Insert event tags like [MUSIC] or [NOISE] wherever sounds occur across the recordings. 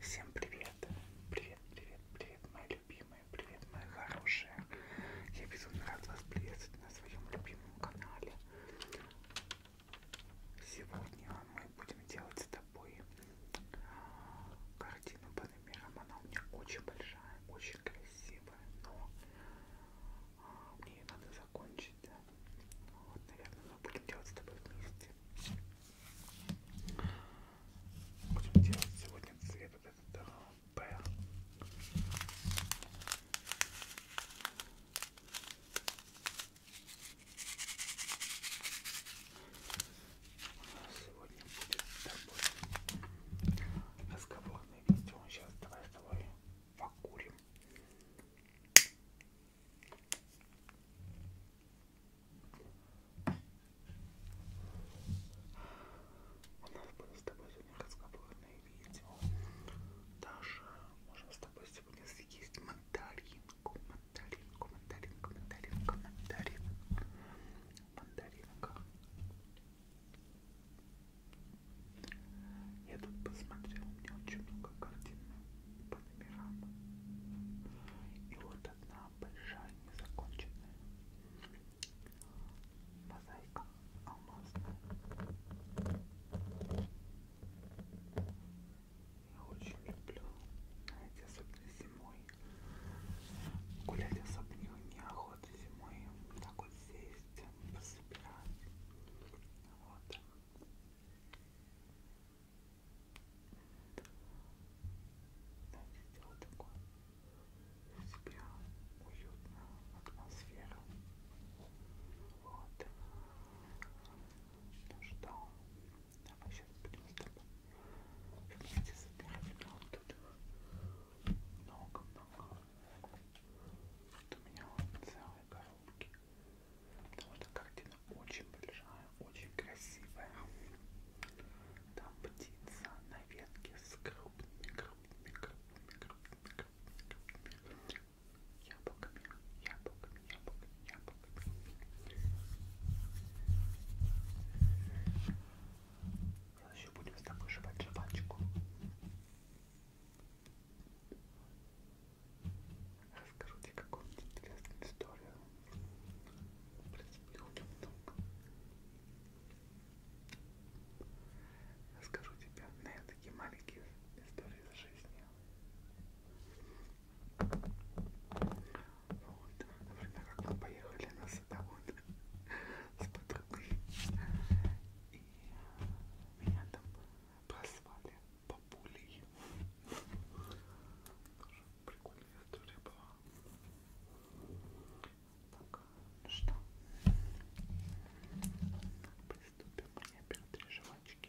Всем привет! Привет, привет, привет, мои любимые, привет, мои хорошие! Я безумно рад вас приветствовать на своем любимом канале. Сегодня мы будем делать с тобой картину Панамерам. Она у меня очень большая, очень красивая, но а, мне ее надо закончить. Ну вот, наверное, мы будем делать с тобой вместе. Будем делать сегодня цвет вот этот а, П сегодня будет такой разговорный видео. Сейчас давай с тобой покурим. У нас были с тобой сегодня разговорные видео. Даже можно с тобой сегодня съесть мандаринку, мандаринку, мандаринку, мандаринку, мандарин мандаринка. Я тут посмотрела, у меня очень много картин по номерам. И вот одна большая, незаконченная мозаика алмазная. Я очень люблю, знаете, особенно зимой Гулять особню неохота зимой. Так вот сесть, пособирать. Вот. Давайте сделать такое. У себя уютную атмосферу. Вот. Ну что, давай сейчас будем с тобой Вместе забирали вот этих много-много. Вот у меня целые коробки. Потому что картина очень большая, очень красивая. Там птица на ветке с крупными, крупными, крупными, крупными, крупными, крупными яблоками, яблоками, яблоками, яблоками. Еще будем с тобой жевать жвачку. Расскажу тебе какую-нибудь интересную историю. В принципе, их очень много. Расскажу тебе, наверное, такие маленькие истории из жизни. Вот. Например, как мы поехали на садовод с подругой. И меня там прозвали бабулей. Тоже прикольная история была. Так, ну что? Приступим. Я беру три жвачки.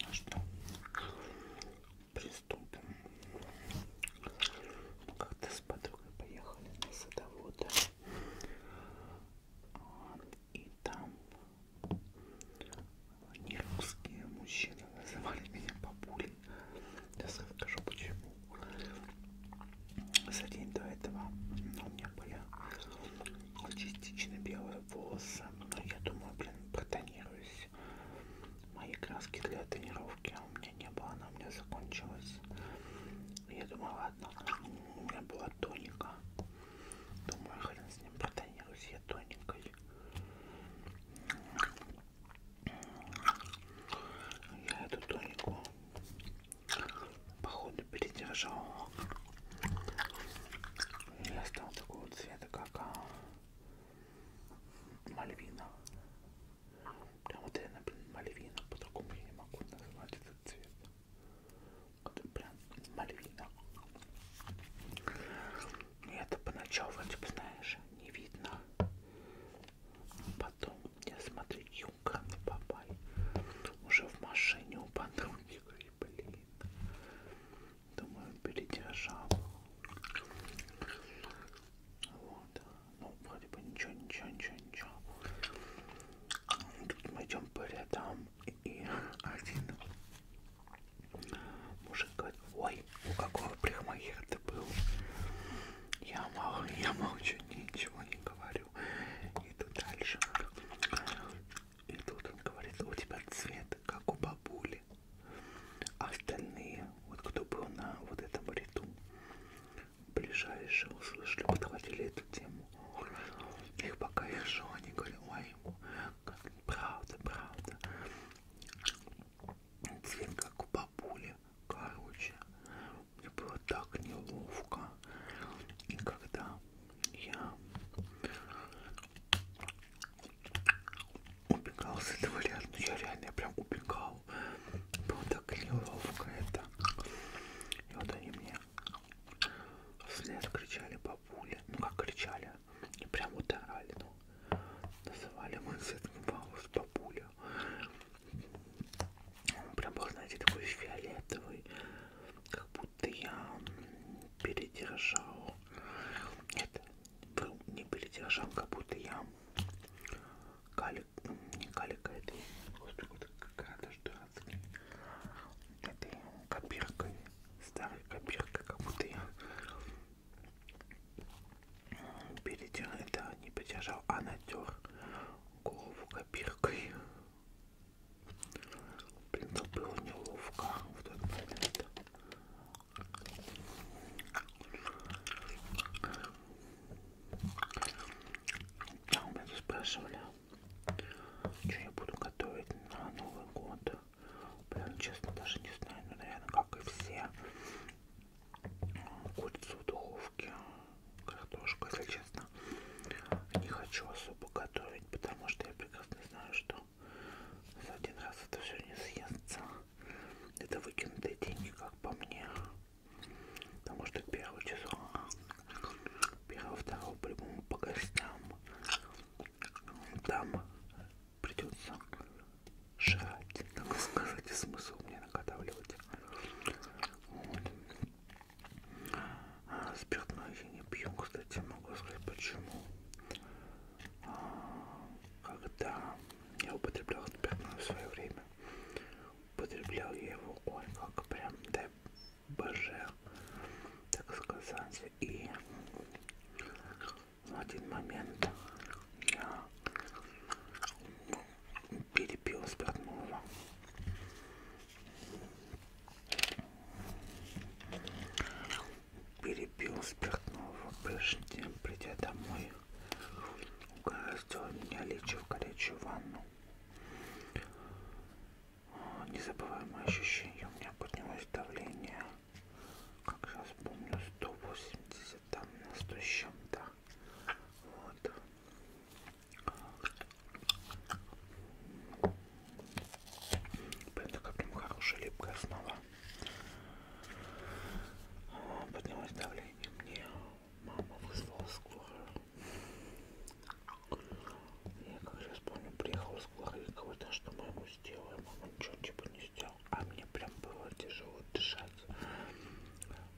Ну что, приступим. Ну, как-то с подругой поехали на садоводы. И там нерусские мужчины называли меня папулей. Сейчас расскажу почему. За день до этого ну, у меня были частично белые волосы. Но я думаю, блин, протонируюсь. Мои краски для тонировки у меня не было, она у меня закончилась. Я думаю, ладно, у меня была тоника. Думаю, хрен с ним протонируюсь я тоникой. Я эту тонику походу передержал я стал такого цвета как а, мальвина прям вот реально блин, мальвина по-другому я не могу назвать этот цвет это прям мальвина и это поначалу типа знаешь не видно потом я смотрю как на Бабай. Уже в машине у подруги, говорю, блин. Думаю, передержал. Вот. Ну, вроде бы ничего, ничего, ничего, ничего. Тут мы идем по рядам, и один мужик говорит, ой, у какого прихмахера ты был? Я, мол, я молчу, ничего не говорю. Иду дальше. И тут он говорит, у тебя цвет, как у бабули. А остальные, вот кто был на вот этом ряду, ближайшие услышали, подхватили эту тему. Их пока я шел, они говорят, ой, правда, правда. Цвет как у бабули, короче мне было так неловко. И когда я убегал с этого лет, ну я реально я прям убегал. Было так неловко это. И вот они мне вслед кричали бабуля. Ну как кричали? И прям вот орали, ну. Называли мой сын Ваус бабуля ее. Он прям был, знаете, такой фиолетовый, как будто я передержал. Нет, был не передержал, как будто я калик, ну, не калика, это какая-то штатский. Это копиркой, старой копиркой, как будто я передержал, это не передержал, а натер голову копиркой. Блин, это было неловко в этот момент. А у меня тут спрашивали, что я буду готовить на Новый год. Блин, честно, даже не знаю, но, ну, наверное, как и все, курицу в духовке, картошку, если честно, не хочу особо готовить, потому что я прекрасно знаю, что за один раз это все не съестся. Это выкинутые деньги, как по мне. Потому что первое число, первого, второго по-любому по гостям, там придется жрать, как сказать, смысл мне наготавливать алкоголь. А, спиртное я не пью, кстати, могу сказать почему. А, когда я употреблял спиртное в свое время, употреблял я его, ой, как прям, дай боже, так сказать. И в один момент я пили пиво спиртного. Перепил спиртного, прежде чем придя домой, угораздило меня лечь в горячую ванну. Незабываемое ощущение, у меня поднялось давление, как сейчас помню, 180 там, на 100 с чем-то. Вот. Блин, такая прям хорошая липкая основа. Поднялось давление. Мне мама вызвала скорую. Я как сейчас помню, приехала скорая и говорит, а что мы ему сделаем? Мама ничего типа не сделала. А мне прям было тяжело дышать.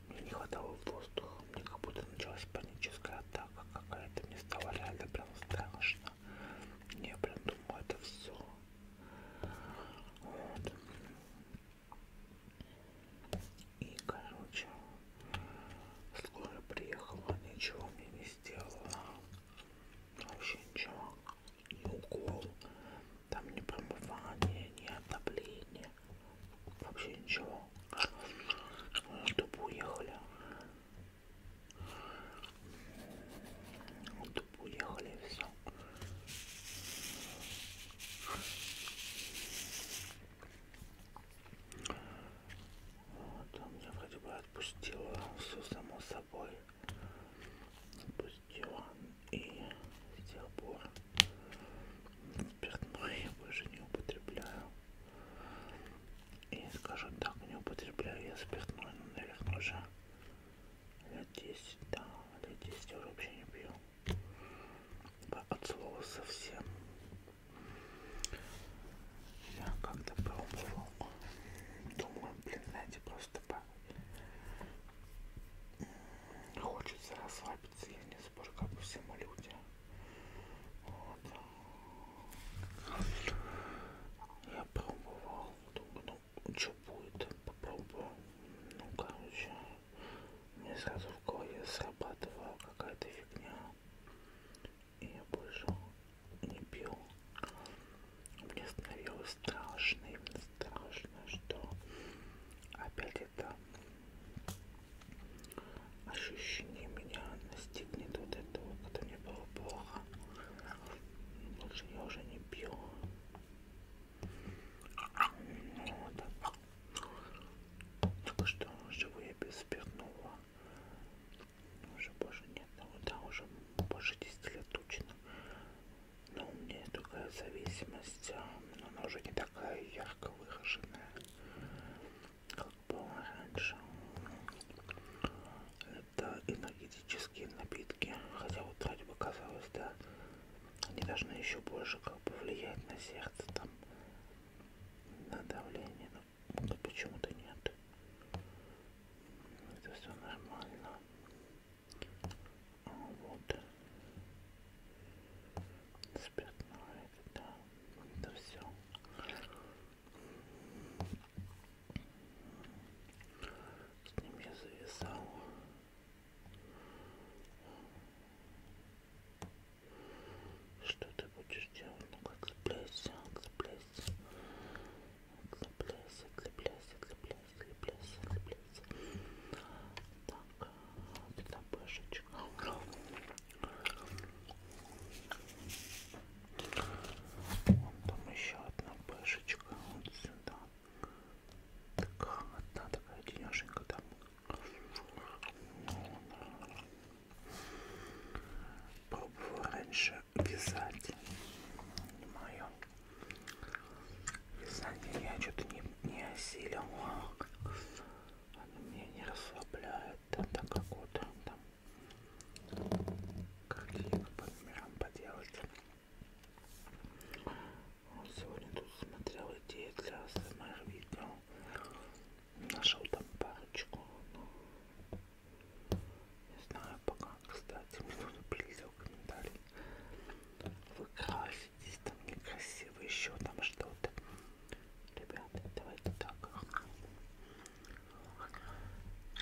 Мне не хватало воздуха, мне как будто началась паническая атака какая-то, мне стало реально прям страшно. Я прям думаю, это все. Вот. И, короче, скоро приехала, ничего мне не сделала. Вообще ничего. Ни укол, там ни промывание, ни отопление. Вообще ничего. Тупо уехали. Тупо уехали и все. Вот, а меня вроде бы отпустила все само собой. Отпустила. И с тех пор спиртное я больше не употребляю. И скажу так, не употребляю я спиртное, но, наверное, уже лет 10, да, лет 10 я уже вообще не пью. От слова совсем. Я как-то пробовал. Думаю, блин, знаете, просто по... Хочется расслабиться, я не сбор как бы все мы люди. Вот. Я пробовал, думаю, ну, ну что будет, попробую. Ну короче, мне сразу в голове срабатывала какая-то фигня. И я больше не пил. Мне становилось страшно, именно страшно, что опять это ощущение меня настигнет вот этого, когда мне было плохо. Больше я уже не пью. Ну, вот. Только что живу я без спиртного. Уже больше нет, ну да, уже больше 10 лет точно. Но у меня такая зависимость, но а, она уже не такая ярко выраженная как было раньше. Это энергетические напитки, хотя вот вроде бы казалось, да, они должны еще больше как бы влиять на сердце, там, на давление, но да почему-то нет. Это все нормально. Вот. Спиртное это, это все. С ним я завязал. Что ты будешь делать? Ну-ка, цепляйся, цепляйся. Цепляйся, цепляйся, цепляйся, цепляйся, цепляйся. Да, пятнапешечка. Вон там еще одна пешечка. Вот сюда. Так, одна такая денеженька там. Пробовала раньше вязать. Не мое. Вязание я что-то не, не осилила она меня не расслабляет, там, там как вот там картинка по номерам поделать. Вот сегодня тут смотрел идеи для СМР видео, нашел там парочку, но не знаю пока, кстати, мне тут прилетел комментарий. Вы краситесь, там некрасиво, еще там что-то. Ребята, давайте так.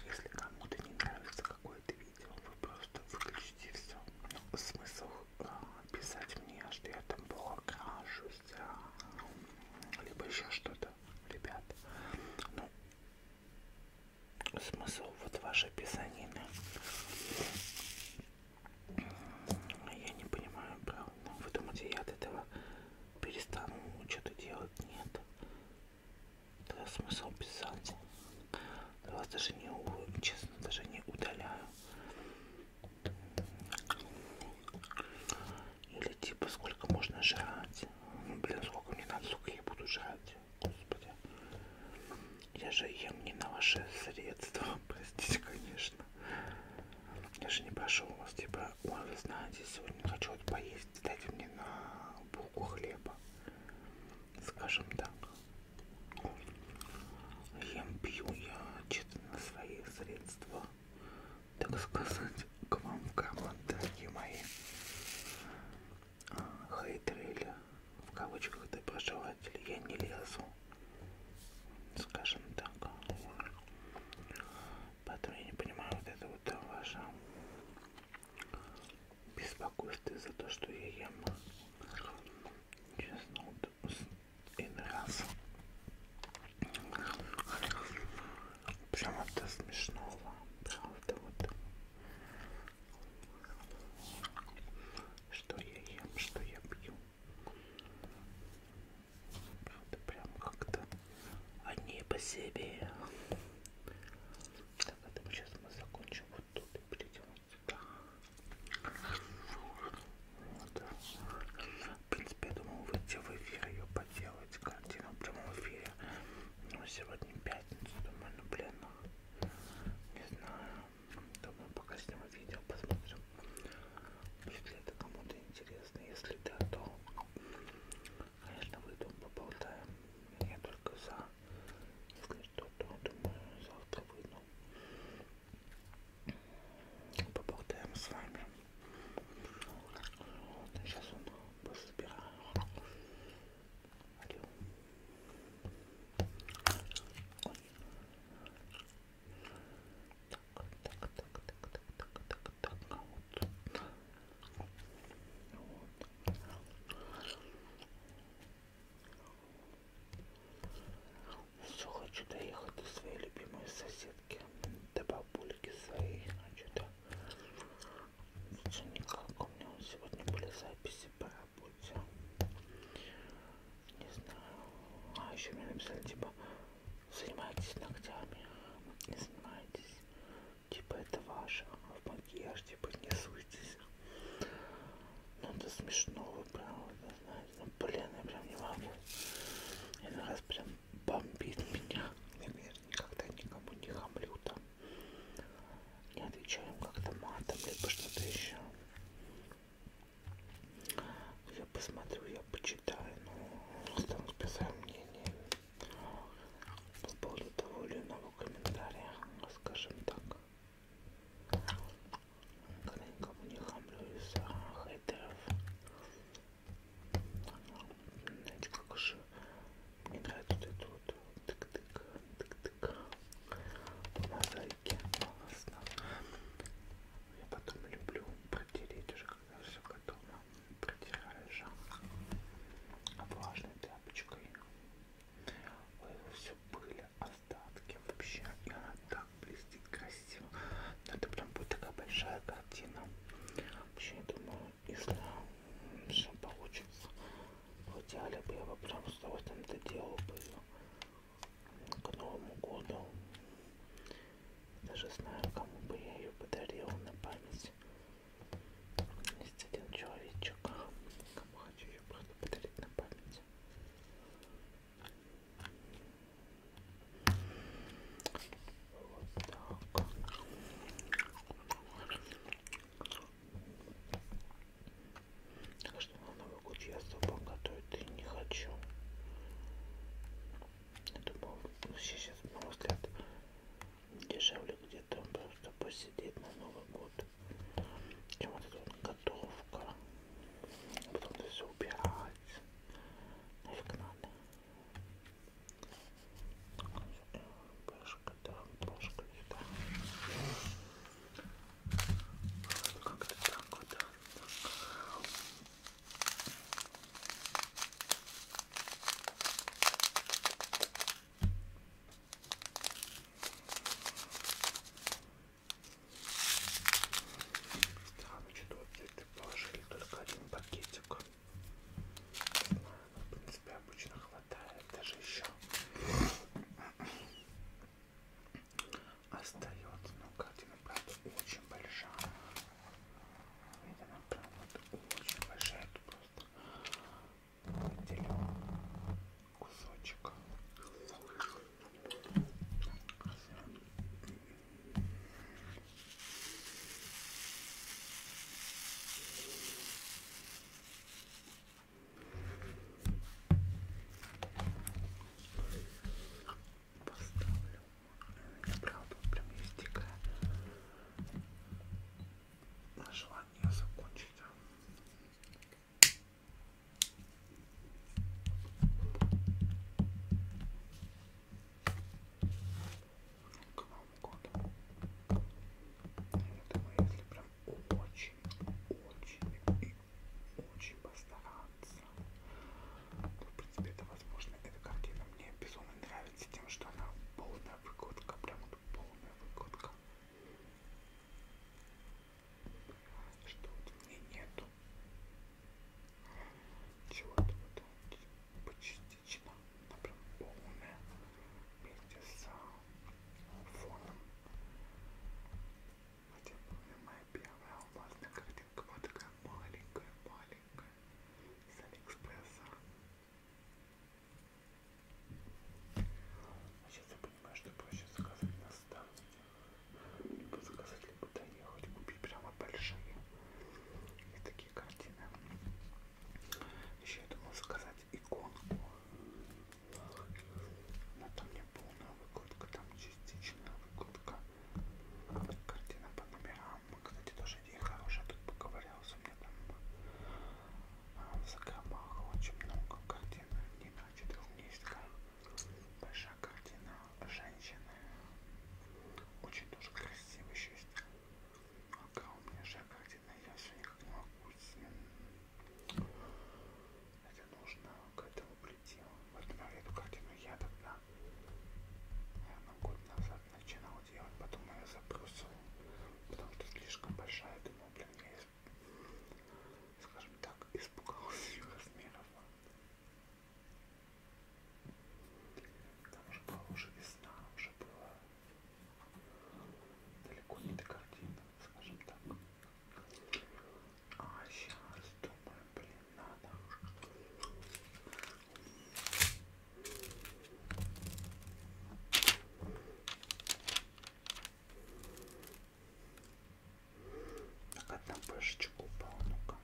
Если кому-то не нравится какое-то видео, вы просто выключите все. Ну, смысл а, писать мне, что я там была крашусь, а, либо еще что-то, ребят. Ну, смысл вот ваше писанина. А я не понимаю, правда. Вы думаете, я от этого перестану что-то делать? Нет. Тогда смысл писать. Я вас даже не честно, даже не удаляю. Или типа сколько можно жрать? Ну, блин, сколько мне надо, сколько я буду жрать? Господи. Я же ем не на ваши средства, [LAUGHS] простите, конечно. Даже не прошу вас, типа, ой, вы знаете, сегодня хочу поесть, дайте мне на булку хлеба, скажем так. Ем, пью я что-то на свои средства, так сказать, [LAUGHS] к вам в команду, дорогие мои а, хейтеры или в кавычках доброжелатели, я не лезу скажем так. Поэтому я не понимаю вот это вот э, ваше беспокойство за то, что я ем. Честно, вот иной раз. Прям это смешно, правда, вот. Что я ем, что я пью. Правда, прям как-то они по себе. Так, это а мы сейчас мы закончим вот тут и перейдем сюда. Вот. В принципе, я думал выйти в эфир ее поделать, картину в прямом эфире. Но ну, сегодня пятница, думаю, ну блин, ну, не знаю. Думаю, пока сниму видео, посмотрим, будет ли это кому-то интересно. Если да, то, конечно, выйду, поболтаем. Я только за. Если что, то, думаю, завтра выйду. Поболтаем с вами. Вот, сейчас он пособираю. Алло. Ой. Так, так, так, так, так, так, так, так, вот. Вот. Все, хочу доехать до своей любимой соседки, до бабульки своей, а что-то все никак. У меня сегодня были записи по работе не знаю. А еще мне написали, типа, занимайтесь ногтями. Не занимайтесь. Типа, это ваше. В макияж, типа, не суйтесь. Ну, это смешно, вы прям, это, знаете. Ну, блин, я прям не могу. Один раз прям бомбит меня. Я, наверное, никогда никому не хамлю там. Не отвечаем как-то матом, либо что-то еще. Я посмотрю, я почитаю, но ну, останусь без сомнений по поводу того или иного комментария, скажем так. Когда никому не хамлю из-за хейтеров. Знаете, как же мне нравится вот это вот тык-тык, тык-тык. У нас языке, но в основном я потом люблю протереть уже, когда все готово, протираю жарко влажной тряпочкой. Ой, все были остатки вообще, и она так блестит красиво. Но ну, это прям будет такая большая картина. Вообще, я думаю, если все получится, в идеале бы я бы прям с удовольствием доделал бы ее к Новому году. Даже знаю, кому бы я ее подарила на память. Есть один человечек, кому хочу ее просто подарить на память. Вот так. Так что на Могут я особо готовить и не хочу. Я думал, сейчас, ну, на мой взгляд, дешевле где-то просто посидеть на Новый год. Чем вот эта вот готовка. Потом это все убирать. Нафиг надо. Пашка, да, Пашка, да. Как-то так вот, да. Странно, что тут положили только один пакетик. Не знаю, но, в принципе, обычно хватает, даже еще остается. Но ну, картина, ну, правда, очень большая. Видите, она, ну, правда, очень большая. Тут просто отделю кусочек поставлю. У меня правда прям есть дикая желание закончить. К Новому году. Я думаю, если прям очень, очень и очень постараться. Но, ну, в принципе, это возможно. Эта картина мне безумно нравится тем, что она полная выкладка, прям вот полная выкладка. Что вот в ней нету чего-то вот почастично, она прям полная вместе с а, фоном. Хотя помню, моя первая алмазная картинка была такая маленькая-маленькая с Алиэкспресса. А сейчас я понимаю, что проще заказать на станции. Либо заказать, либо доехать, купить прямо большие. И такие картины. Еще я думал заказать иконку. Но там не полная выкладка, там частичная выкладка. Картина по номерам. Кстати, тоже идея хорошая. Тут поковырялся мне там в а, закромах очень много картин. Не на четырехместка. Большая картина женщины. Очень тоже красиво еще есть. Огромная же картина. Я все никак не могу. Это нужно к этому прилетел. Выгнал эту картину я тогда, наверное, год назад начинал делать, потом я забросил, потому что слишком большая, думал, блин, я, скажем так, испугался ее [LAUGHS] размеров. Там уже была уже весна, уже была далеко не до картина, скажем так. А сейчас думаю, блин, надо. Так, одна пышечка упала, ну-ка.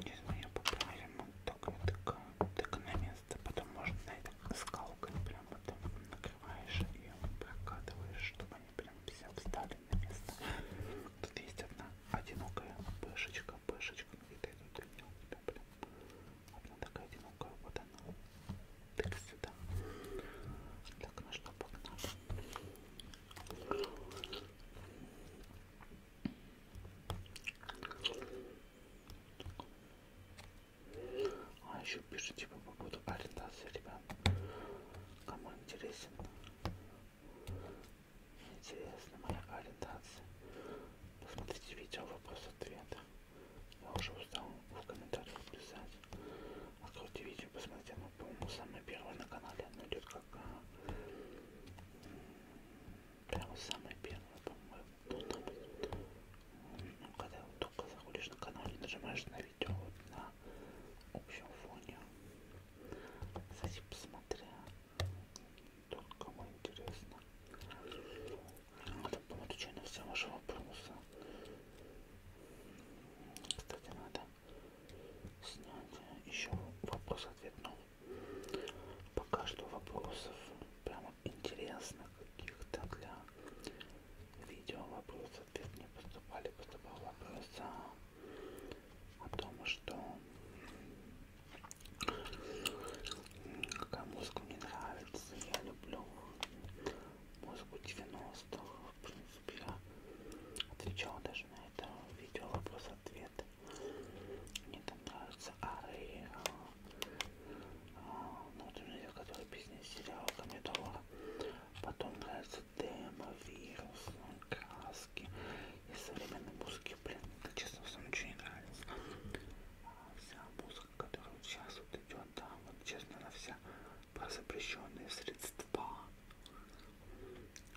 Сейчас мы ее поправим, вот так вот так, вот так на место. Потом можно на это скалкой прям потом накрываешь ее, прокатываешь, чтобы они прям все встали на место. Тут есть одна одинокая пышечка, пышечка, ну это идут у меня прям, прям одна такая одинокая, вот она. Так сюда. Так, ну что, погнали. Так. А еще пишите типа, по поводу ориентации, ребят. Кому интересен? Интересна моя ориентация. Посмотрите видео вопрос-ответ. Я уже устал в комментариях писать. Откройте видео, посмотрите, оно, по-моему, самое первое на канале. Оно идет как... А, прямо самое первое, по-моему. Ну, когда вот только заходишь на канал и нажимаешь на видео, вот, на на общем фоне. Кстати, посмотря, тут кому интересно. Надо было отвечать на все ваши вопросы. Кстати, надо снять еще вопрос-ответ, но ну, пока что вопросов прямо интересных каких-то для видео вопросов ответ не поступали, поступал вопрос а, о том, что какая музыка мне нравится. Я люблю музыку 90-х. В принципе, я отвечал даже на это видео вопрос-ответ. Мне там нравится Ары, а, а, ну, вот у меня, который песня сериала Комедова. Потом нравится тема, вирус, краски и современной музыки. Блин, это честно, все ничего не нравится. А вся музыка, которая вот сейчас вот идет, да, вот честно, она вся про запрещенные средства,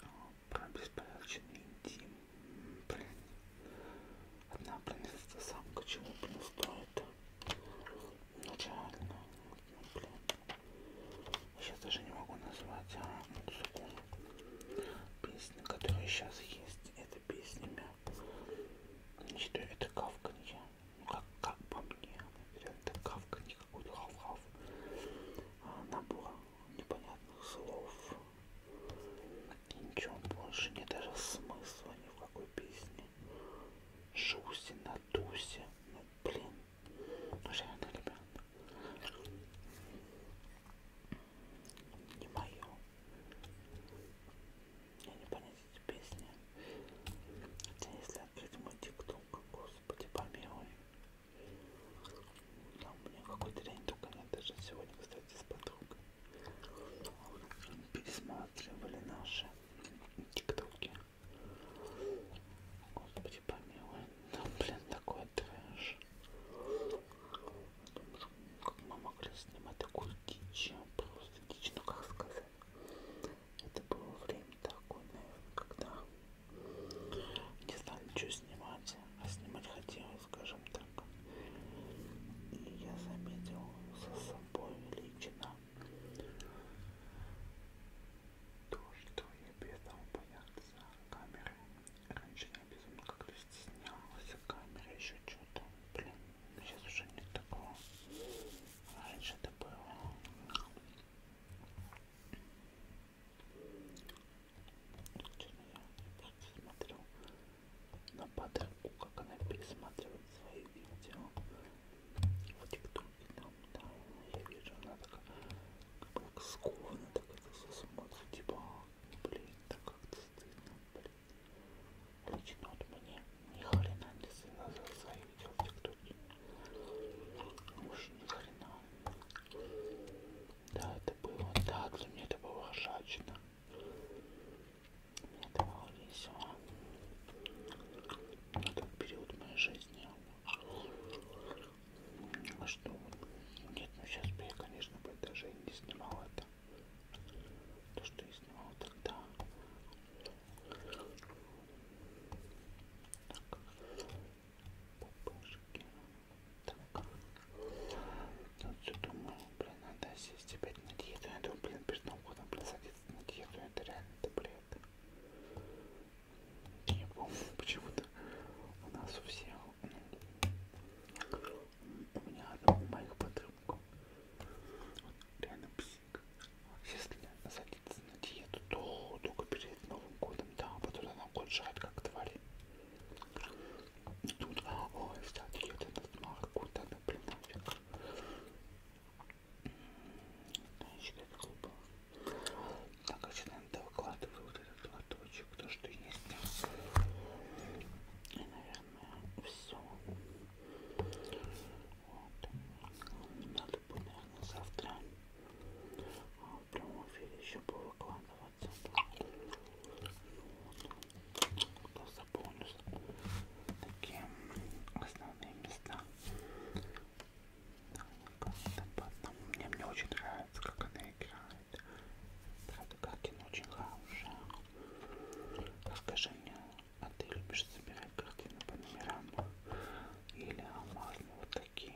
а, про беспорядочный интим. Блин, одна, блин, самка чему, блин, стоит. Начально. Блин. Сейчас даже не могу назвать а, музыку. Песни, которые сейчас есть, это песнями. Считаю, это кавканье. Ну как, как по мне. Это кавканье какой-то хав-хав. А, набор непонятных слов. И ничего больше. Нет даже смысла ни в какой песне. Жуси на тусе. Ну блин, ну реально, ребят. Не мое. Я не понять эти песни. Хотя если открыть мой тикток, господи, помилуй. Там у меня какой-то лень только нет. Даже сегодня, кстати, с подругой. Пересматривали наши тиктоки. Господи помилуй. Там, блин, такой трэш. Как мы могли снимать такую дичь. Просто дичь, ну как сказать. Это было время такое, наверное, когда не знали, что снимать. А снимать хотелось, скажем так. И я заметил за собой лично то, что я перестал бояться камеры. Раньше я безумно как-то стеснялась камеры, еще что-то. Блин, сейчас уже нет такого. Раньше это было. Я просто смотрю на подругу, как она пересматривает свои видео в тиктоке там, да, я вижу, она такая, как бы как скована, так это все смотрит, типа, блин, так как-то стыдно, блин. Лично вот мне ни хрена не стыдно за заявить в тиктоке. Уж ни хрена. Да, это было, да, для меня это было ржачно. Мне это было весело этот период моей жизни. А что? Нет, ну сейчас бы я, конечно, бы даже и не снимал это. То, что я снимал тогда. Так. Пупышки. Так. Тут ну, все думаю, блин, надо сесть опять на диету. Я думаю, блин, перед Новым годом, блин, садиться на диету. Это реально, это, блин. И почему-то у нас у всех, у меня одного моих подруг, он реально псих. Если садится на диету, то только перед Новым годом, да, а потом она год жрать как твари. И тут, а, ой, вся диета на смарку, да, блин, нафиг. Значит, это глупо. Так, а что надо выкладываю вот этот лоточек, то, что есть. И, наверное, все. Вот. Надо бы, наверное, завтра а, в прямом эфире еще повыкладываться. Вот. Заполню такие основные места. Мне, мне очень нравится, как она играет. Правда, картина очень хорошая. Расскажи мне, а ты любишь собирать картины по номерам? Или алмазные вот такие?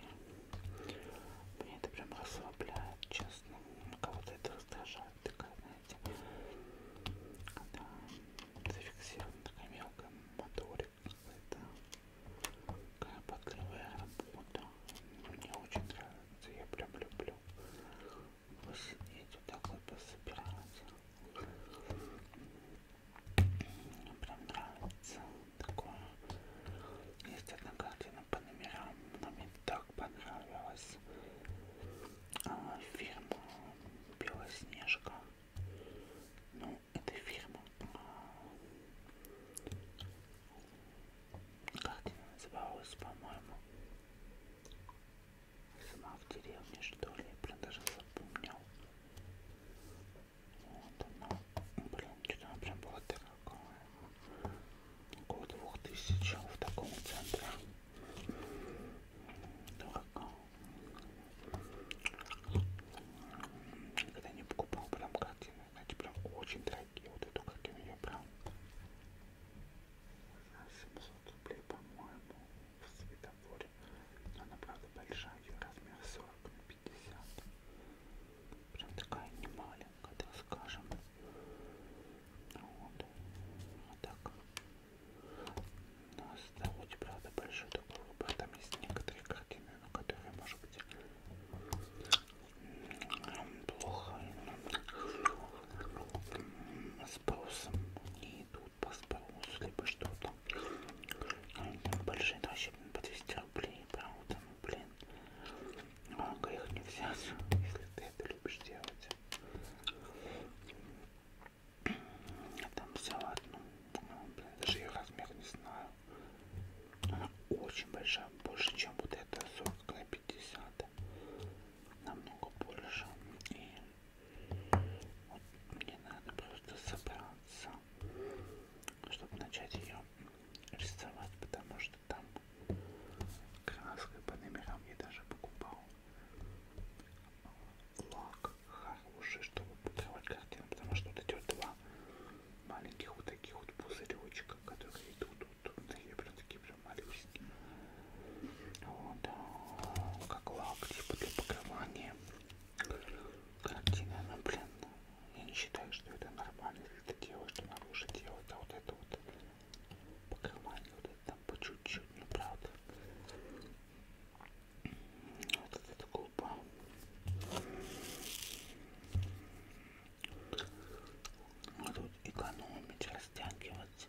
Мне это прям расслабляет, честно. Кого-то это раздражает, такая, знаете, когда зафиксирована такая мелкая моторика. Это такая потливая работа. Мне очень нравится, я прям люблю. Посидеть вот так вот пособираться. Мне прям нравится такое. Есть одна картина по номерам. Она мне так понравилась. А, фильм Белоснежка ну, этой фирмы. Как она называлась, по-моему? Сама в деревне, что ли? Я прям даже запомнил. Вот она. Блин, что-то она прям была дорогая. Около двух тысяч в таком центре. Дорого. Никогда не покупал прям картины, знаете, прям очень дорогие. Вот эту картину я прям 700 рублей, по-моему, в светофоре. Она, правда, большая, ее размер 40 на 50. Прям такая немаленькая, так скажем. Вот. А так. Но ну, оставить, правда, большой такой выбор. Там есть некоторые картины, но которые, может быть, плохо с спросом не идут по спросу, либо что-то. Большие расчеты по 200 рублей, правда, ну блин. Много их не взять, [LAUGHS] если ты это любишь делать. А там салат, ну, блин, даже ее размер не знаю. Она очень большая, больше, чем вот эта 40 на 50. Намного больше. И вот мне надо просто собраться, чтобы начать ее рисовать, потому что там краской по номерам я даже покупал лак хороший, чтобы пудровать картину, потому что вот эти вот два маленьких вот таких вот пузыречка, которые идут, вот, такие прям такие прям малюсенькие. Вот, как лак, типа для покрывания картины, но, ну, блин, я не считаю, что это нормально, если ты делаешь, что надо уже делать, а вот это вот покрывание, вот это там по чуть-чуть, ну правда. Вот это глупо. А тут экономить, растягивать.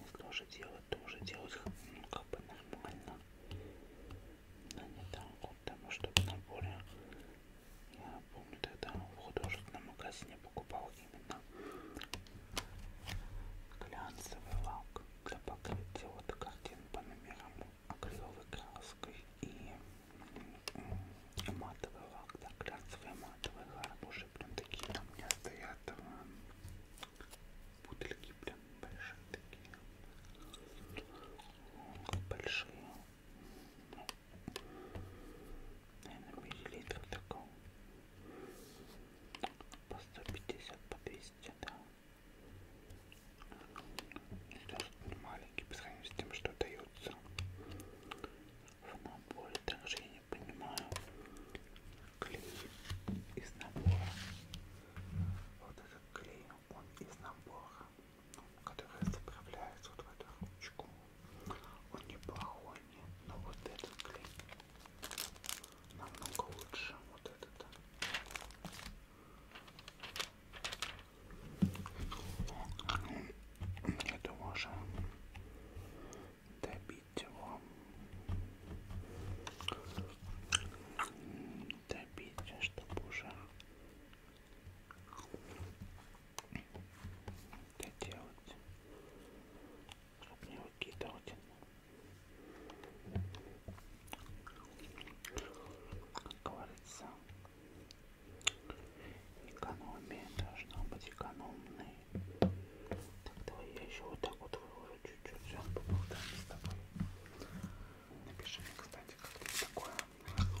Если уже делать, то уже делать ну, как бы нормально. Но не так, потому что в наборе я помню тогда в художественном магазине покупал именно глянцевый лак для покрытия вот картин по номерам акриловой краской и матовый лак, да, глянцевый матовый хороший, прям такие там у меня стоят э, бутыльки прям большие такие, как большие, ну, наверное, миллилитров такого, по 150, по 200, да маленький по сравнению с тем, что дается в наборе. Также я не понимаю клей из набора. Вот этот клей, он из набора, который заправляется вот в эту ручку. Он неплохой, но вот этот клей намного лучше. Вот этот. Это можно добить его. Добить, чтобы уже доделать. Чтобы не выкидывать. Как говорится, экономия должна быть экономной. Так, давай я еще вот так вот выложу чуть-чуть, сейчас поболтаем с тобой. Напиши мне, кстати, как тебе такое. Ладно,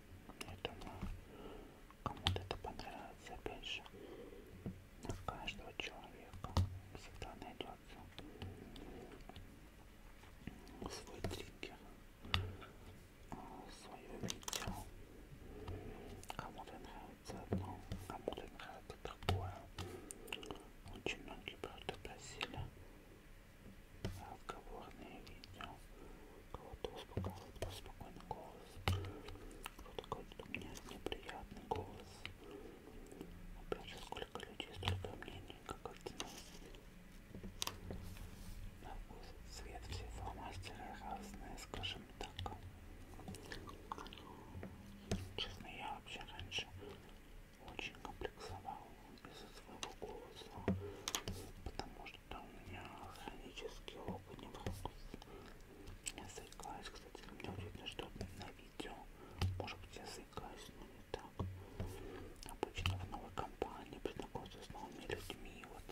Я думаю, кому-то это понравится, опять же, на каждого человека всегда найдется свой триггер, а, свое видео. Кому-то нравится одно, кому-то нравится другое. Очень многие правда просили разговорные видео, кого-то успокаивает спокойный голос, кто-то говорит, у меня неприятный голос. Опять же, сколько людей, столько мнений, как один. На вкус цвет всего мастера разные, скажем так. Честно, я вообще раньше очень комплексовал из-за своего голоса, потому что у меня хронический опыт не заикаюсь. Кстати, мне удивительно, что на видео, может быть, я заикаюсь, но не так. Обычно в новой компании познакомиться с новыми людьми, вот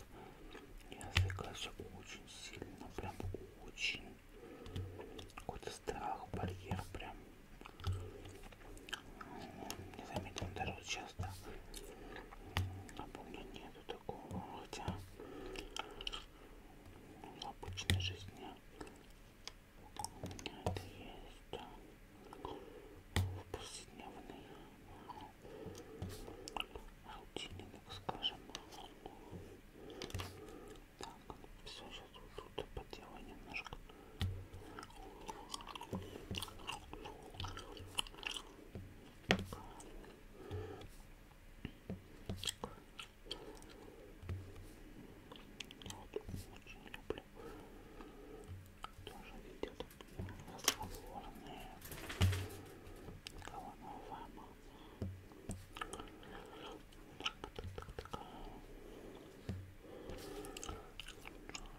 я заикаюсь очень сильно, прям очень. Какой-то страх, барьер, прям не заметил даже вот часто а помню, нету такого, хотя в обычной жизни у меня это есть. В повседневной рутине, так скажем. Так, все сейчас вот тут поделаю немножко. Я вот очень люблю тоже видео разговорные головного так, так, так, так.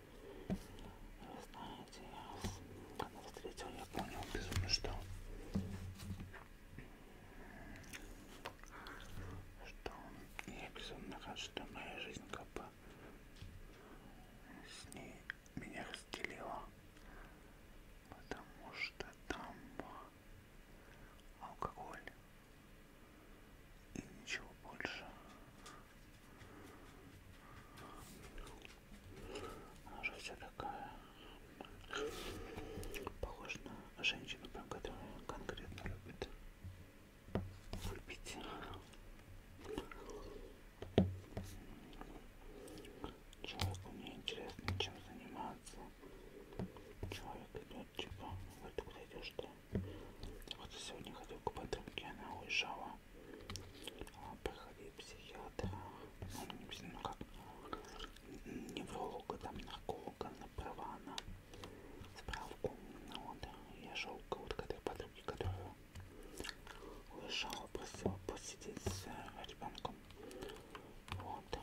Знаете, я когда встретил, я понял безумно, что что я безумно хочу, что моя жизнь как бы с ней меня разделила, потому что там алкоголь и ничего больше. Она же вся такая похожа на женщину, прям которую конкретно любит любить. Человеку мне интересно, чем заниматься. Человек идет, типа, говорит, куда идешь ты? Вот сегодня ходил к подруге, она уезжала проходил психиатра, ну, не психиатра, ну, как, невролога, там, нарколога, на права, на справку, ну, вот, я шел к вот к этой подруге, которая уезжала, просила посидеть с э, ребенком, вот,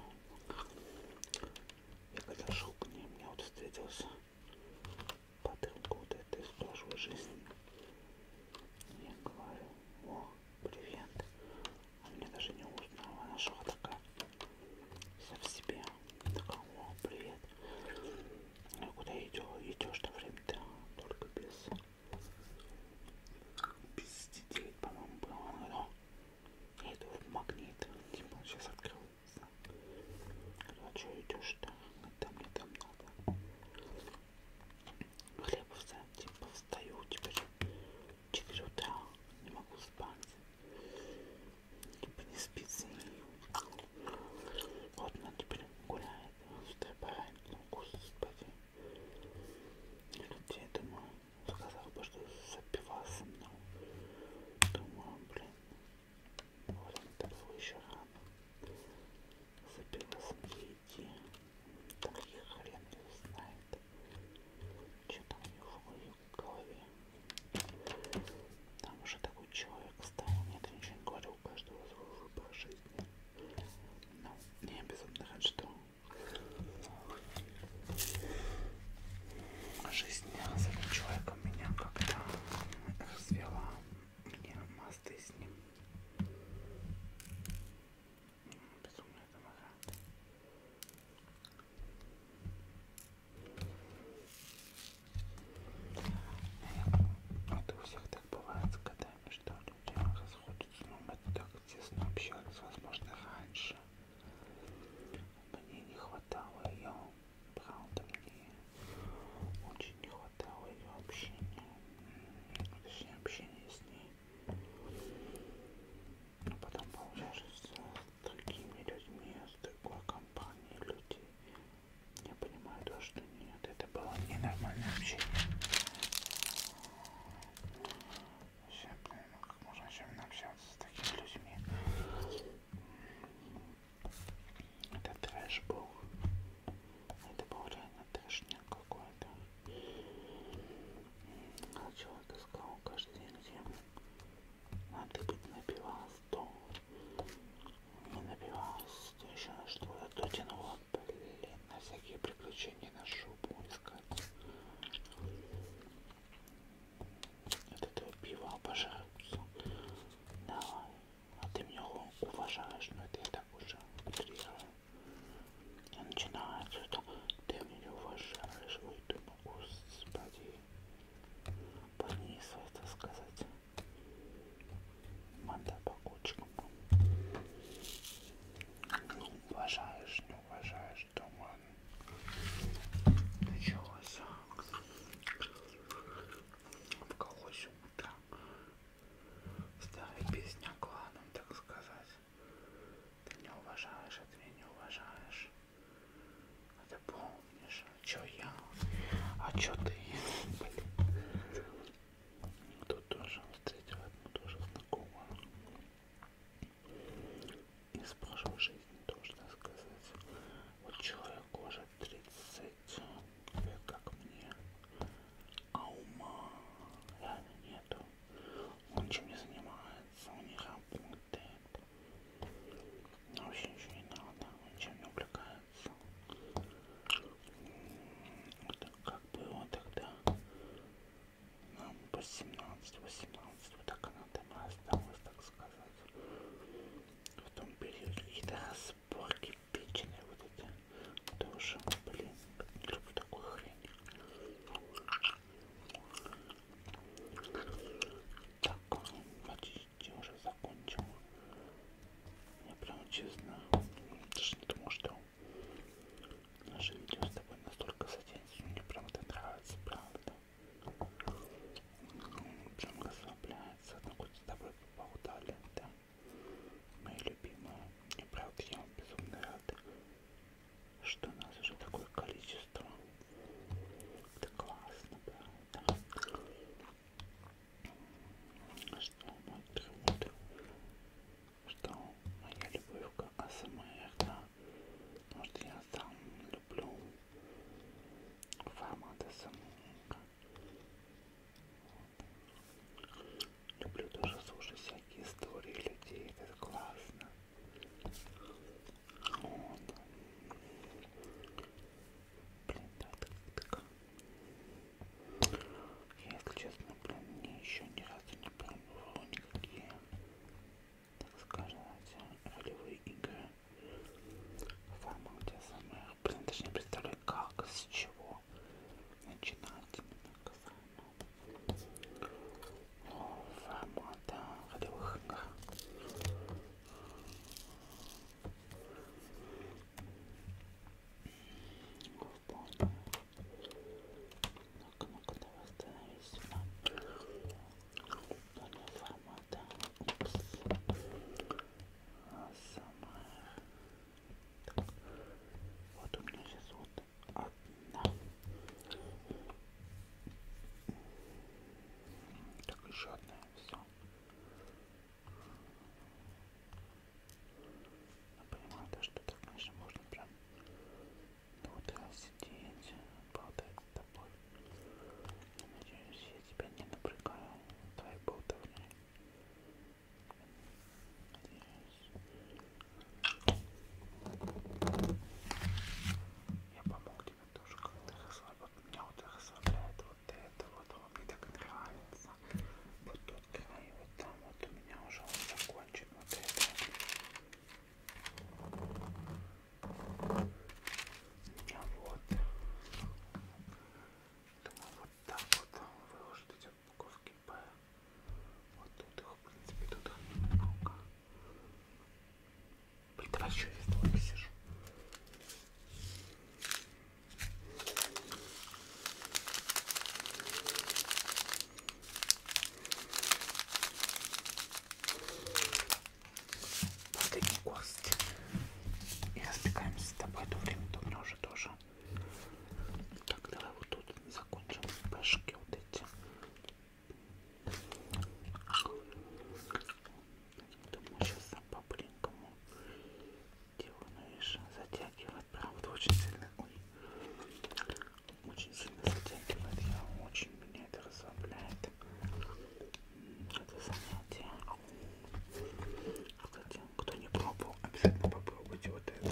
я когда шел к ней, мне вот встретился подруга вот этой из прошлой жизни, я говорю, о, привет. А меня даже не узнала, она шла такая, вся в себе. Такая, о, привет. Я «Ну, куда идешь? Идешь-то время-то только без... Без детей, по-моему, было. Она говорит, о, я иду в магнит. Типа, сейчас открылся. Говорю, а что идешь-то? Там мне там надо. Хлеб встать, типа встаю теперь 4 утра, не могу спать, типа не спится. Вот она теперь гуляет, встрепает, ну кушает спать. И тут я думаю, сказал бы, что запивался, но думаю, блин, вот он такой еще рано запивался идти. Так я хрен его знает. Что там у него в голове? Там уже такой человек стал. Нет, я ничего не говорю, у каждого свой выбор жизни. Но ну, не обязательно, что жизнь с этим человеком меня как-то развела. Мне мосты с ним Безумный домогат. Это у всех так бывает с годами, что люди расходятся, но это так тесно общались, возможно, раньше. Мне не хватало ее, правда, мне очень очень не хватало ее общения, точнее общения с ней. Но ну, потом получается с другими людьми, с другой компанией людей. Я понимаю то, что нет, это было ненормальное общение. Вообще, блин, ну как можно вообще общаться с такими людьми? Это трэш был. Это был реально трэшняк какой-то. А человек искал каждый день, где а ты бы напивалась, то не напивалась, то еще на что я а то тянула, блин, на всякие приключения, на шубу искать. От этого пива обожаются. Давай. А ты меня уважаешь, но это я так уже утрирую. И начинается это. Ты меня уважаешь, ой, ты господи. Понизу это сказать. Манда по кучкам. Ну, уважаешь, не уважаешь, туман. Началось. В колосе утра. Старая песня кланом, так сказать. Ты не уважаешь, а ты меня не уважаешь. А ты помнишь, а чё я, а чё ты? Блин. Тут тоже встретила одну тоже знакомую. Из прошлой жизни тоже, так сказать. Вот человек уже 30 лет, как мне а ума реально нету. Он чем не занимается, он не работает. Вообще ничего не надо, он чем не увлекается. Вот как было тогда нам по 17, 18, вот так она там осталась, так сказать. В том периоде какие-то разборки печеные вот эти тоже, блин, не люблю такую хрень. Так, почти уже закончил. Я прям честно даже не думал, что наше видео с тобой настолько затянется. Мне прям это нравится, правда. Прям расслабляется. Ну хоть с тобой поболтали, да. Мои любимые, и правда я вам безумно рада, что нас уже такое количество. Это классно, правда. Что мой труд, что моя любовь к АСМР, да, потому что я сам люблю формат АСМР. Люблю тоже слушать всякие истории людей, это классно. Вот. Блин, так, так, так. Я, если честно, блин, мне еще ни разу не пробовала никакие, так скажем, ролевые игры. Самое, где самое, блин, даже не представляю, как, с чего его начинать формата ходовых игр. Ну-ка, ну-ка, давай остановись сюда. Понял формата. Упс. Самая вот у меня сейчас вот одна. Так, еще одна. Все. Я ну, понимаю, да, что так, конечно, можно прям ну, вот сидеть, болтать с тобой. Надеюсь, я тебя не напрягаю твоей болтовней. Надеюсь. Я помог тебе тоже как-то расслабить. Вот меня вот расслабляет вот это вот. Он мне так нравится. Вот тот край, вот там вот у меня уже он закончен. Вот это. У меня вот. Думаю, вот так вот выложить эти от буковки П. Вот тут их, в принципе, тут их немного. Блин, давай еще я столько сижу. Последний гость. И разбегаемся с тобой. До времени, думаю, уже тоже так, давай вот тут закончим пешки вот эти. Думаю, сейчас по-бленькому делаю, но видишь, затягивает, правда, очень сильно, ой, очень сильно затягивает, я очень меня это расслабляет, это занятие. Кстати, кто не пробовал, обязательно попробуйте вот это.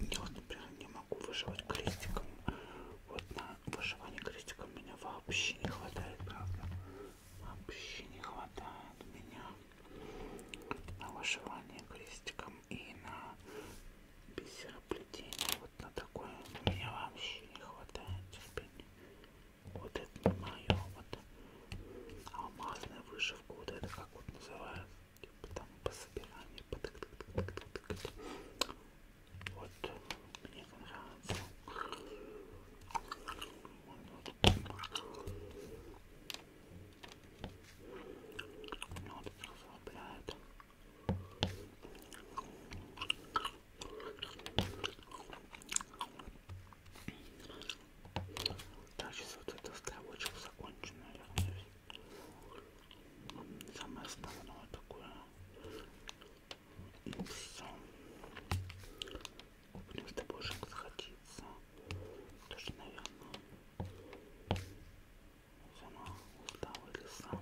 Я вот, например, не могу выживать крестиком. Вот на выживание крестиком меня вообще не хватает, правда. Вообще не хватает меня на вышивание крестиком и на бисероплетение. Вот на такое меня вообще не хватает терпения. Вот это не мое, вот вот алмазная вышивка, вот это как вот называют, типа там по собиранию, по тык тык тык тык тык тык Вот, мне нравится. Ну, вот это расслабляет. Так, сейчас вот эту стрелочку закончу, наверное. Самое основное такое. И все. Будем с тобой уже сходиться. Тоже, наверное, она устала леса.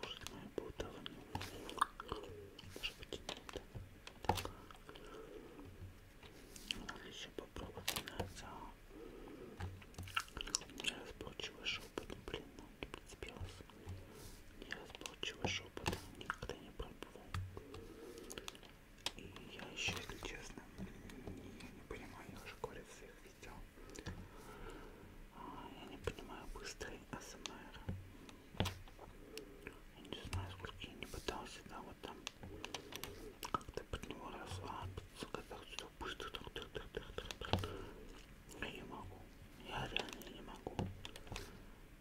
Кушать мою путовую. Может быть, нет. Так. Можно еще попробовать мясо. Неразборчивый шепот. Блин, ну не прицепилась. Неразборчивый шепот. Никогда не пробовал. И я еще, если честно, я не понимаю, я уже говорю в своих видео. А, я не понимаю быстрый АСМР. Я не знаю, сколько я не пытался, да, вот там как-то под него расслабиться, когда что быстро Я не могу. Я реально не могу.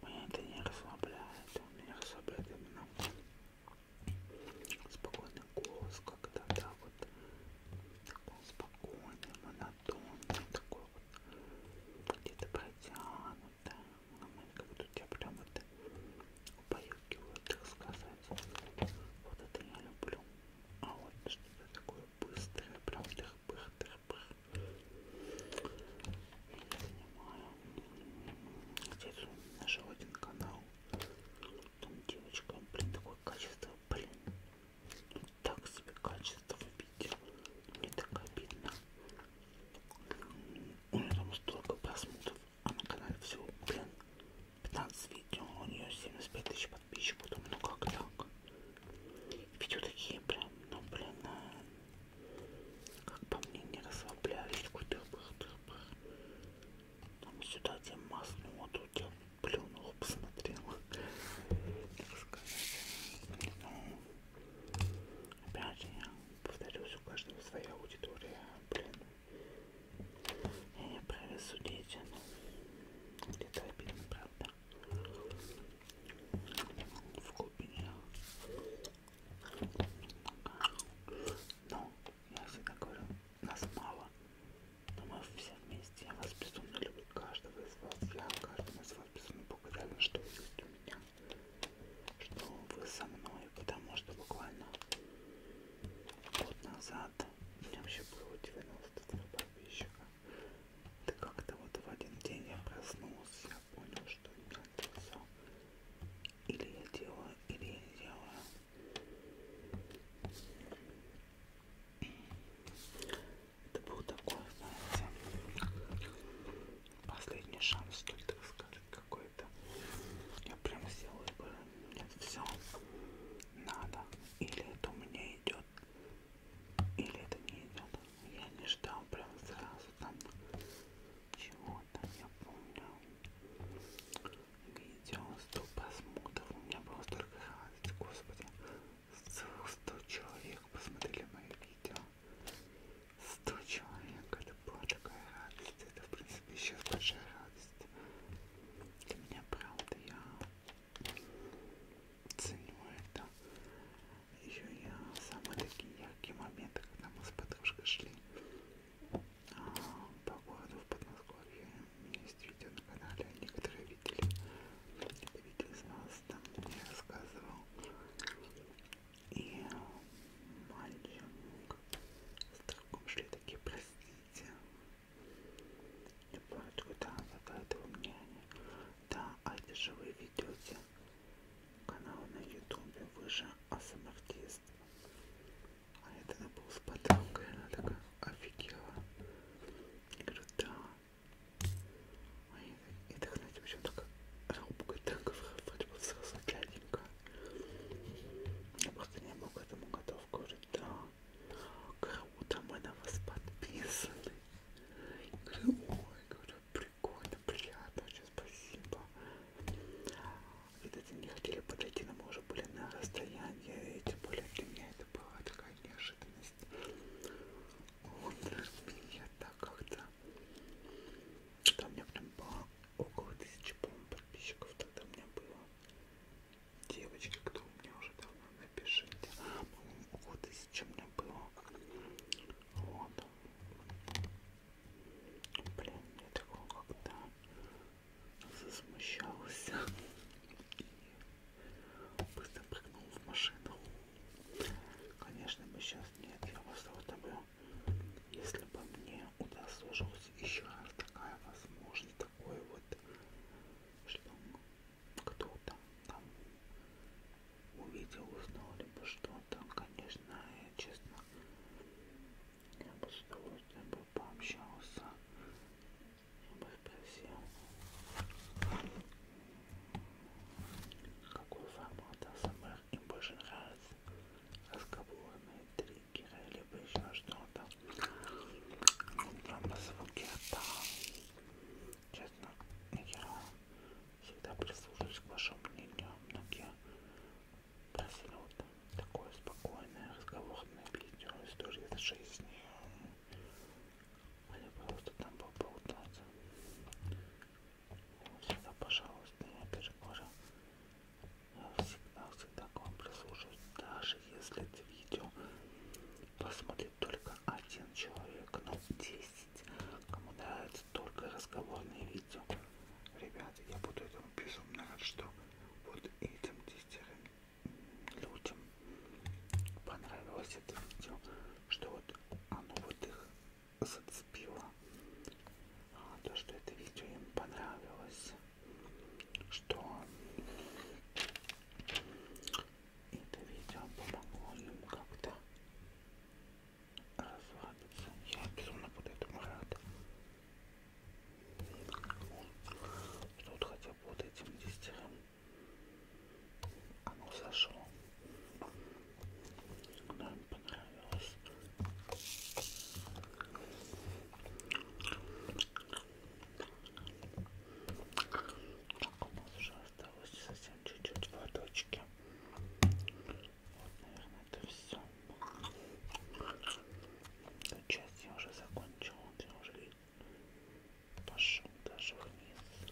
Меня это не расслабляет. Меня расслабляет именно спокойный голос, когда да, вот такой спокойный, монотонный, такой вот где-то протянут, да, мамонька, вот у тебя прям это убаюкивают, так сказать. Вот это я люблю. А вот что-то такое быстрое, прям тых-пых-тых-пых. Я не понимаю. Здесь наш один канал. Там девочка, блин, такое качество, блин. Так себе качество видео. Мне так обидно. У нее там столько просмотров, а на канале всего, блин, 15 видео, у нее 75 тысяч подписчиков, думаю, ну как так? Видео такие прям, ну блин, а, как по мне не расслаблялись, такой тырбых-тырбых. Там сюда тебе масло, тут я плюнул, посмотрел. Так [LAUGHS] сказать, ну, Опять же, я повторюсь, у каждого своя аудитория, блин. Я не праве судить, а, но ну, где-то обидно, правда. В глубине. Но, ну, я всегда говорю, нас мало, но мы все вместе. Я вас безумно люблю, каждого из вас. Я каждому из вас безумно благодарен, что вы есть у меня что вы со мной, потому что буквально год назад у меня вообще было 93 подписчика. Да как-то вот в один день я проснулся, я понял, что у меня это все. Или я делаю, или я не делаю. Это был такой, знаете, Последний шанс, что ли, так скажем, какой-то. Я прям сделаю бы. Нет, все. Надо. Или это у меня идет, или это не идет. Я не ждал прям сразу там чего-то. Я помню. Видео 100 просмотров. У меня было столько хватит. Господи. Целых 100 человек посмотрели мои видео. 100 человек, это была такая радость, это в принципе сейчас большая радость. Для меня правда, я ценю это. Еще я самые такие яркие моменты, когда мы с подружкой шли а, по городу в Подмосковье. У меня есть видео на канале, некоторые видели. Это видео из нас, там я рассказывал и мальчик в таком такие простите я плачу, да, за этого мнения да, а это же вы ведете канал на ютубе вы же асмартист а я тогда был с подругой, она такая офигела я говорю, да и дыхнуть, в общем, так раубкой так вроде бы сразу пляденько. Я просто не был к этому готов, говорю, да, круто, мы на вас подписаны. Я говорю, ой, говорю, прикольно, приятно, очень спасибо. Видать, не хотели подойти, но мы уже были на расстоянии, и тем более для меня это была такая неожиданность. Он меня так как-то там у меня прям было около тысячи, по-моему, подписчиков тогда у меня было. Девочки, кто у меня уже давно, напишите. По-моему, около тысячи у меня было. Вот. Блин, я такого как-то засмущался и быстро прыгнул в машину. Конечно, мы сейчас нет, я вас вот тобой если бы мне удосужилась еще раз такая возможность, такой вот, что кто-то там увидел, узнал, либо что-то, конечно, я честно, я бы с удовольствием бы пообщался, я бы спросил. Какой формат АСМР им больше нравится? Разговорные триггеры либо еще что-то? Прямо звуки рта. Честно, я всегда прислушиваюсь к вашему мнению. Многие просили вот такое спокойное разговорное видео, истории из жизни. Они просто там поболтаться. Всегда, пожалуйста, я перекажу. Я всегда, всегда к вам прислушаюсь, даже если это видео посмотрит только один человек, но 10. Кому нравится только разговорные видео. Ребята, я буду этому безумно рад, что вот этим десятерым людям понравилось это видео, что вот оно вот их зацепило. А, то, что это видео им понравилось. Что это видео помогло им как-то расслабиться. Я безумно буду этому рад. Что вот хотя бы вот этим дистером оно зашло. Нам понравилось. Так, у нас уже осталось совсем чуть-чуть водочки. Вот, наверное, это все. Эту часть я уже закончила, я уже пошел даже вниз.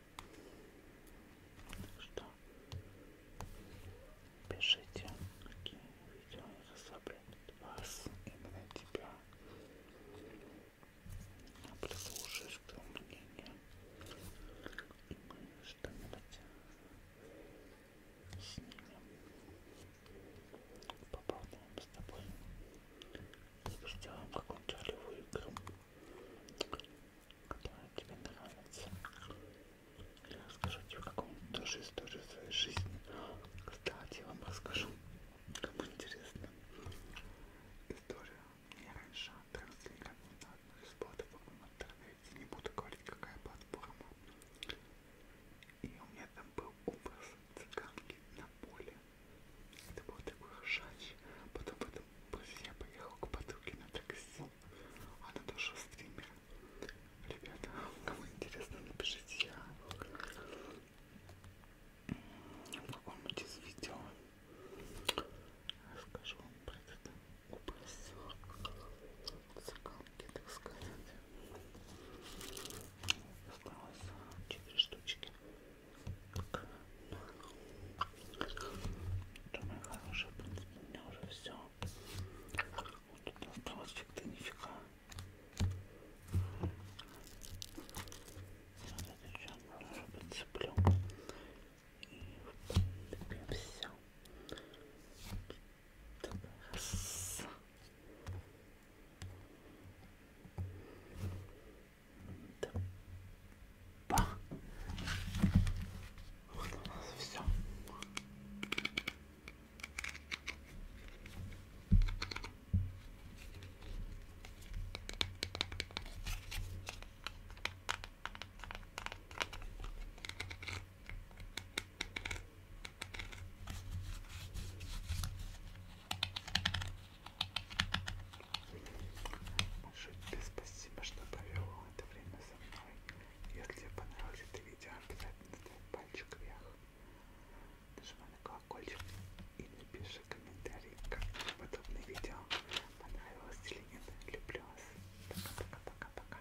что пишите, какие видео расслабляют вас, именно тебя. Я прислушаюсь к твоему мнению и мы что-нибудь снимем. Поболтаем с тобой. Сделаем какую-нибудь ролевую игру которая тебе нравится. Я расскажу тебе какую-нибудь тоже историю своей жизни. Кстати, я вам расскажу, кому интересно. История мне раньше транслирована на одной из платформ в интернете. Не буду говорить, какая платформа. И у меня там был образ цыганки на поле. Это был такой ржач. Потом это Позже я поехал к подруге на такси. Она тоже стример. Ребята, кому интересно, напишите я в каком-нибудь из видео расскажу вам про этот образ цыганки, так сказать. Осталось четыре штучки. Так. Думаю, хорошая, в принципе, у меня уже все. Вот тут осталось фиг-то нифига. Я вот это еще уже подцеплю. И в принципе все. Так, раз. Да. Бах. Вот у нас все. Большое тебе спасибо, что провел это время за мной. Если тебе понравилось это видео, обязательно ставь пальчик вверх. Нажимай на колокольчик и напиши комментарий, как тебе подобное видео. Понравилось или нет. Люблю вас. Пока-пока-пока-пока.